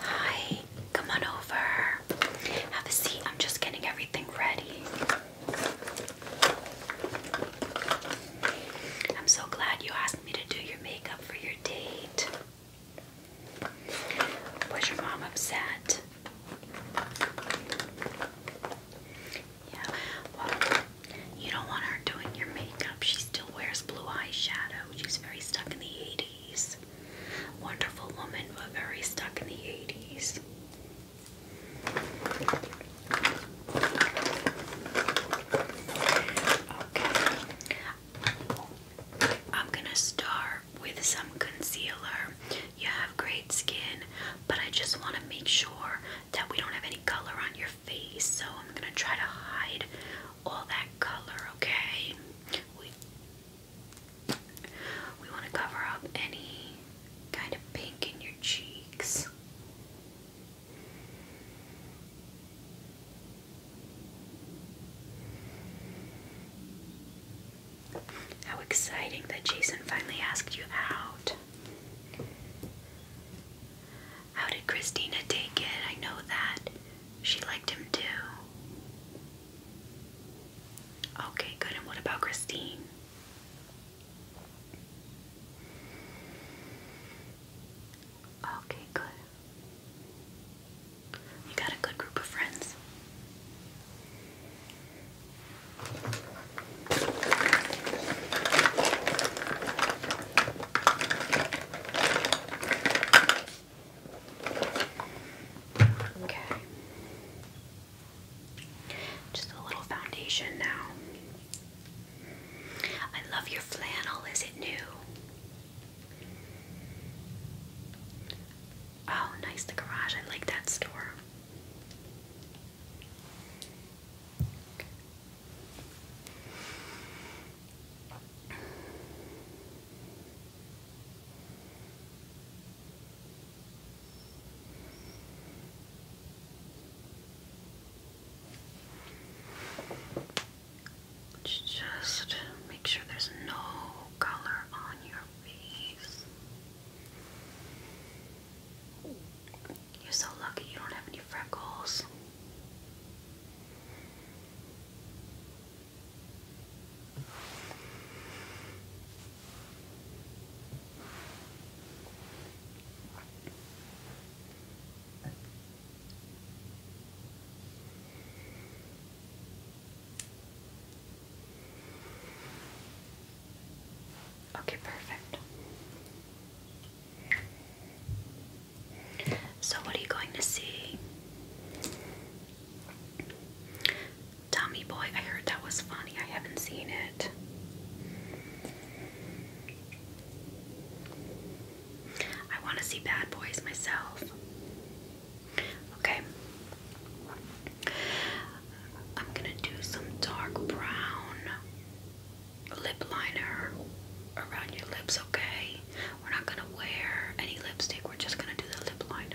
Hi, come on over. Have a seat. I'm just getting everything ready. I'm so glad you asked me to do your makeup for your date. Was your mom upset? Yeah, well, you don't want her doing your makeup. She still wears blue eyeshadow. She's very stuck in the 80s. Wonderful woman, but very stuck in the 80s. Okay. I'm going to start with some concealer. You have great skin, but I just want to make sure that we don't have any color on your face, so I'm going to try to hide all that color, okay? We we want to cover up any kind of pink in your cheeks. How exciting that Jason finally asked you out. How did Christina take it? I know that. She liked him too. Okay, good. And what about Christine? Okay, good. You got a good group of friends. Okay. Just a little foundation now. I love your flannel. Is it new? Oh, nice. The garage. I like that store. Just make sure there's no color on your face. You're so lucky you don't have any freckles. Okay, perfect. So, what are you going to see? Tummy Boy, I heard that was funny. I haven't seen it. I want to see Bad Boys myself. Okay. I'm going to do some dark brown lip liner around your lips, okay? We're not going to wear any lipstick. We're just going to do the lip liner.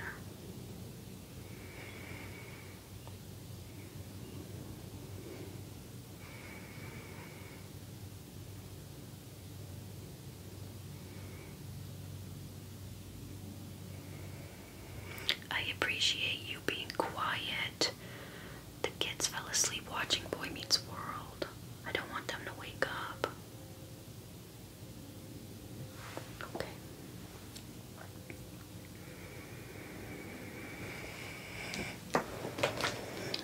I appreciate you being quiet. The kids fell asleep watching Boy Meets World. I don't want them to wake up. Okay.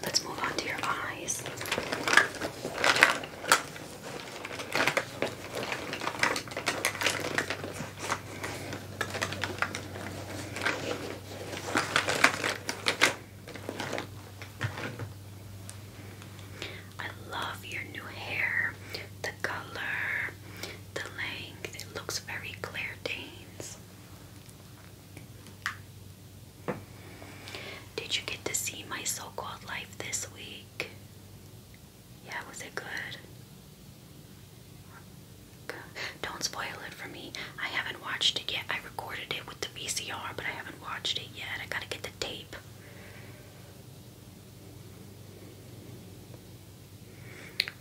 Let's move on to your eyes. I love your new hair, the color, the length. It looks very Claire Danes. Did you get to see my so-called life this week? Yeah, was it good? good? Don't spoil it for me. I haven't watched it yet. I recorded it with the VCR, but I haven't watched it yet. I gotta get the tape.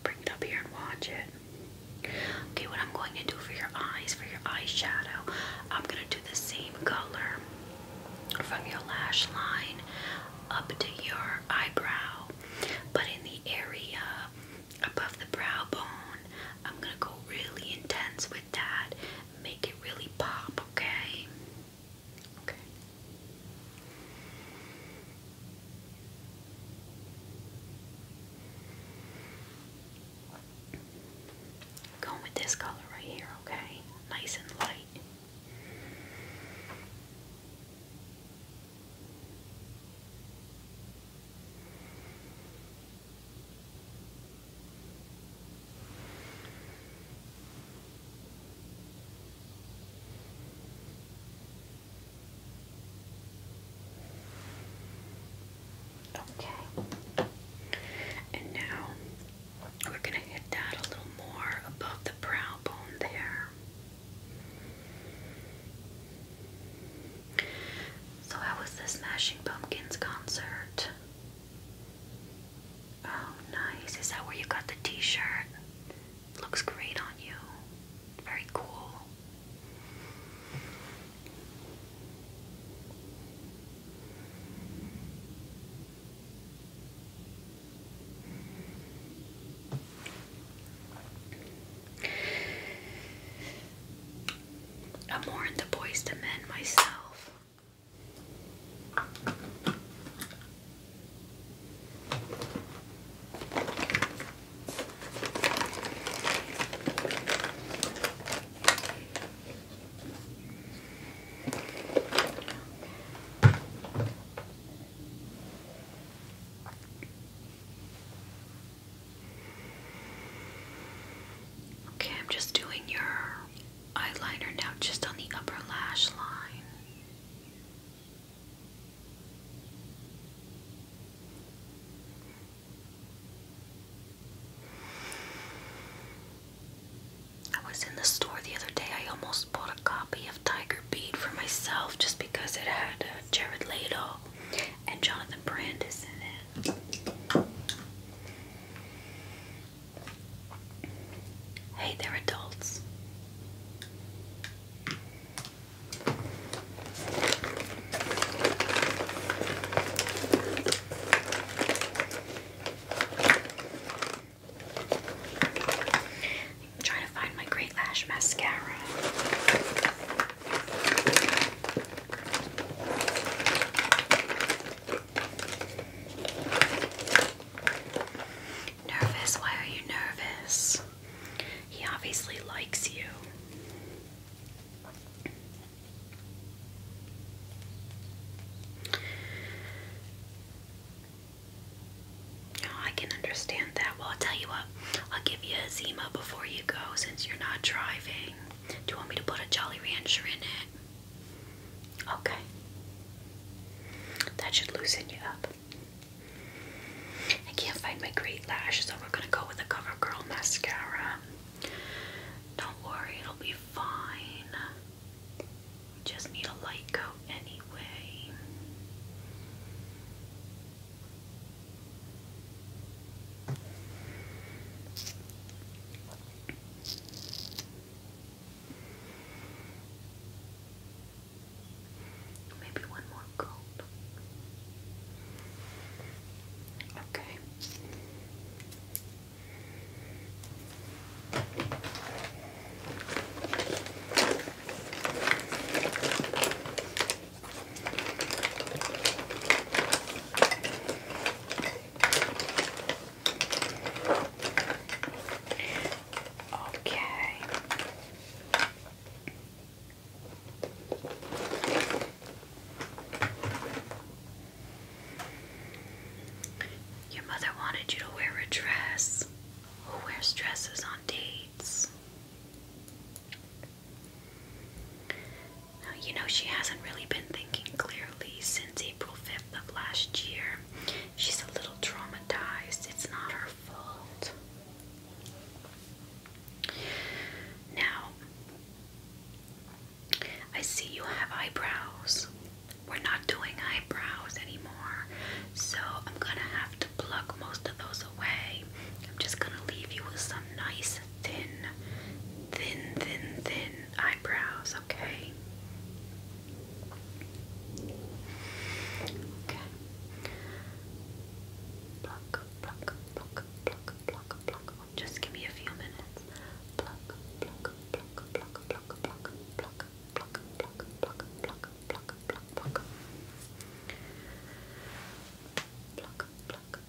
Bring it up here and watch it. Okay, what I'm going to do for your eyes, for your eyeshadow, I'm going to do the same color from your lash line up to your eyebrow, but in the area above the brow bone, I'm going to go really intense with that, make it really pop, okay? Okay. Going with this color right here, okay? Nice and light. Okay. And now we're going to hit that a little more above the brow bone there. So, how was the Smashing Pumpkins concert? Oh, nice. Is that where you got the t shirt? Looks great on you. Very cool. I'm more into boys to men myself. Okay, I'm just doing your eyeliner now just on the upper lash line. I was in the store the other day. I almost bought a copy of Tiger Beat for myself just because it had uh, Jared Leto and Jonathan Brandis in it. Hey, they're adults. I'm trying to find my Great Lash mascara. Nervous? Why are you nervous? He obviously likes you. Oh, I can understand that. Well, I'll tell you what, I'll give you a Zima before you go since you're not driving. Do you want me to put a Jolly Rancher in it? Okay. That should loosen you up. I can't find my great lash, so we're gonna go with the CoverGirl mascara. Don't worry, it'll be fine. just need a light coat anyway. Maybe one more coat. Okay. Okay. Your mother wanted you to wear a dress. Who wears dresses on dates? you know, she hasn't really been thinking clearly since April 5th of last year. She's a little traumatized. It's not her fault. Now, I see you have eyebrows. We're not doing eyebrows anymore, so I'm gonna have to pluck most of those away. I'm just gonna leave you with some nice, thin, thin, thin, thin eyebrows, okay? Okay. Pluck, pluck, pluck, pluck, pluck, pluck. Just give me a few minutes. Pluck, pluck, pluck, pluck, pluck, pluck, pluck, pluck, pluck, pluck, pluck, pluck, pluck, pluck. Pluck,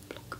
pluck, pluck,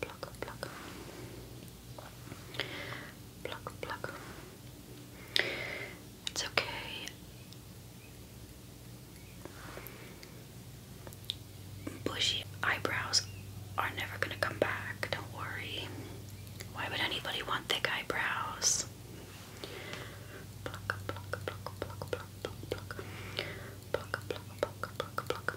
pluck, pluck. Pluck, pluck. It's okay. Bushy eyebrows are never gonna come back, don't worry. Why would anybody want thick eyebrows? Pluck, pluck, pluck, pluck, pluck, pluck, pluck, pluck, pluck, pluck, pluck, pluck, pluck,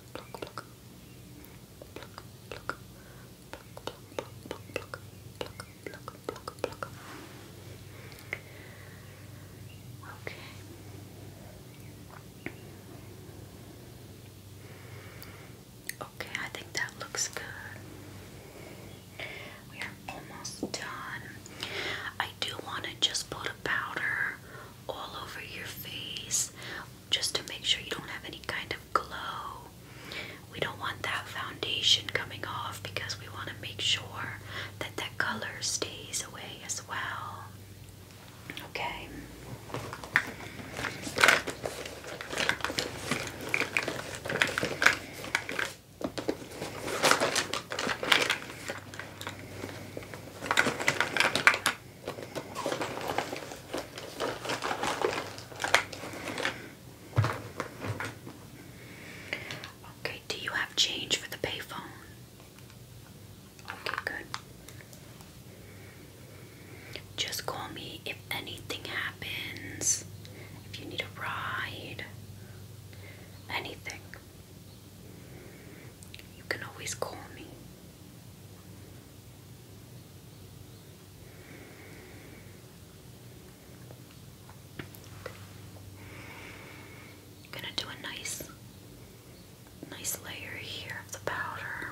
Okay. Okay, I think that looks good. We are almost done. I do want to just put a powder all over your face just to make sure you don't have any kind of glow. We don't want that foundation coming off because we want to make sure that that color stays away as well. Okay. Okay, do you have change for the payphone? Okay, good. Just call me if anything happens, if you need a ride, anything. You can always call me. gonna do a nice, nice layer here of the powder.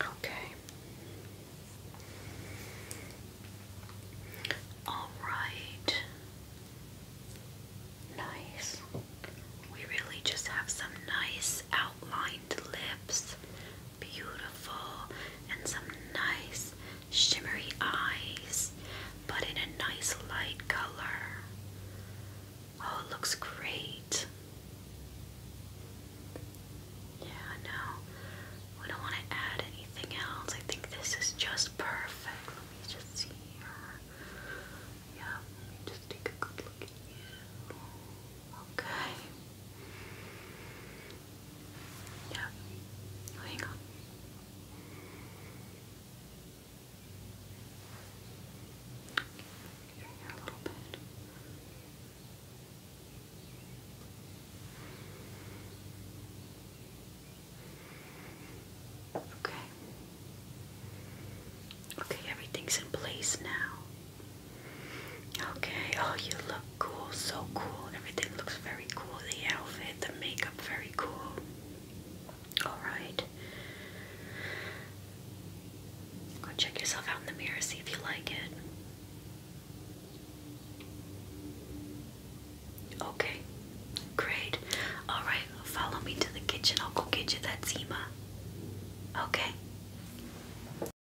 Okay. All right. Nice. We really just have some nice outlined lips. Beautiful and some nice shimmery eyes, but in a nice light color. Oh, it looks great. Yeah, no, we don't want to add anything else. I think this is just perfect. Let me just see here. Yeah, let me just take a good look at you. Okay. Yeah. Oh, on. Okay. Okay, everything's in place now. Okay, oh, you look cool, so cool. Everything looks very cool. The outfit, the makeup, very cool. Alright. Go check yourself out in the mirror, see if you like it. Okay, great. Alright, follow me to the kitchen. I'll go get you that Zima. Okay.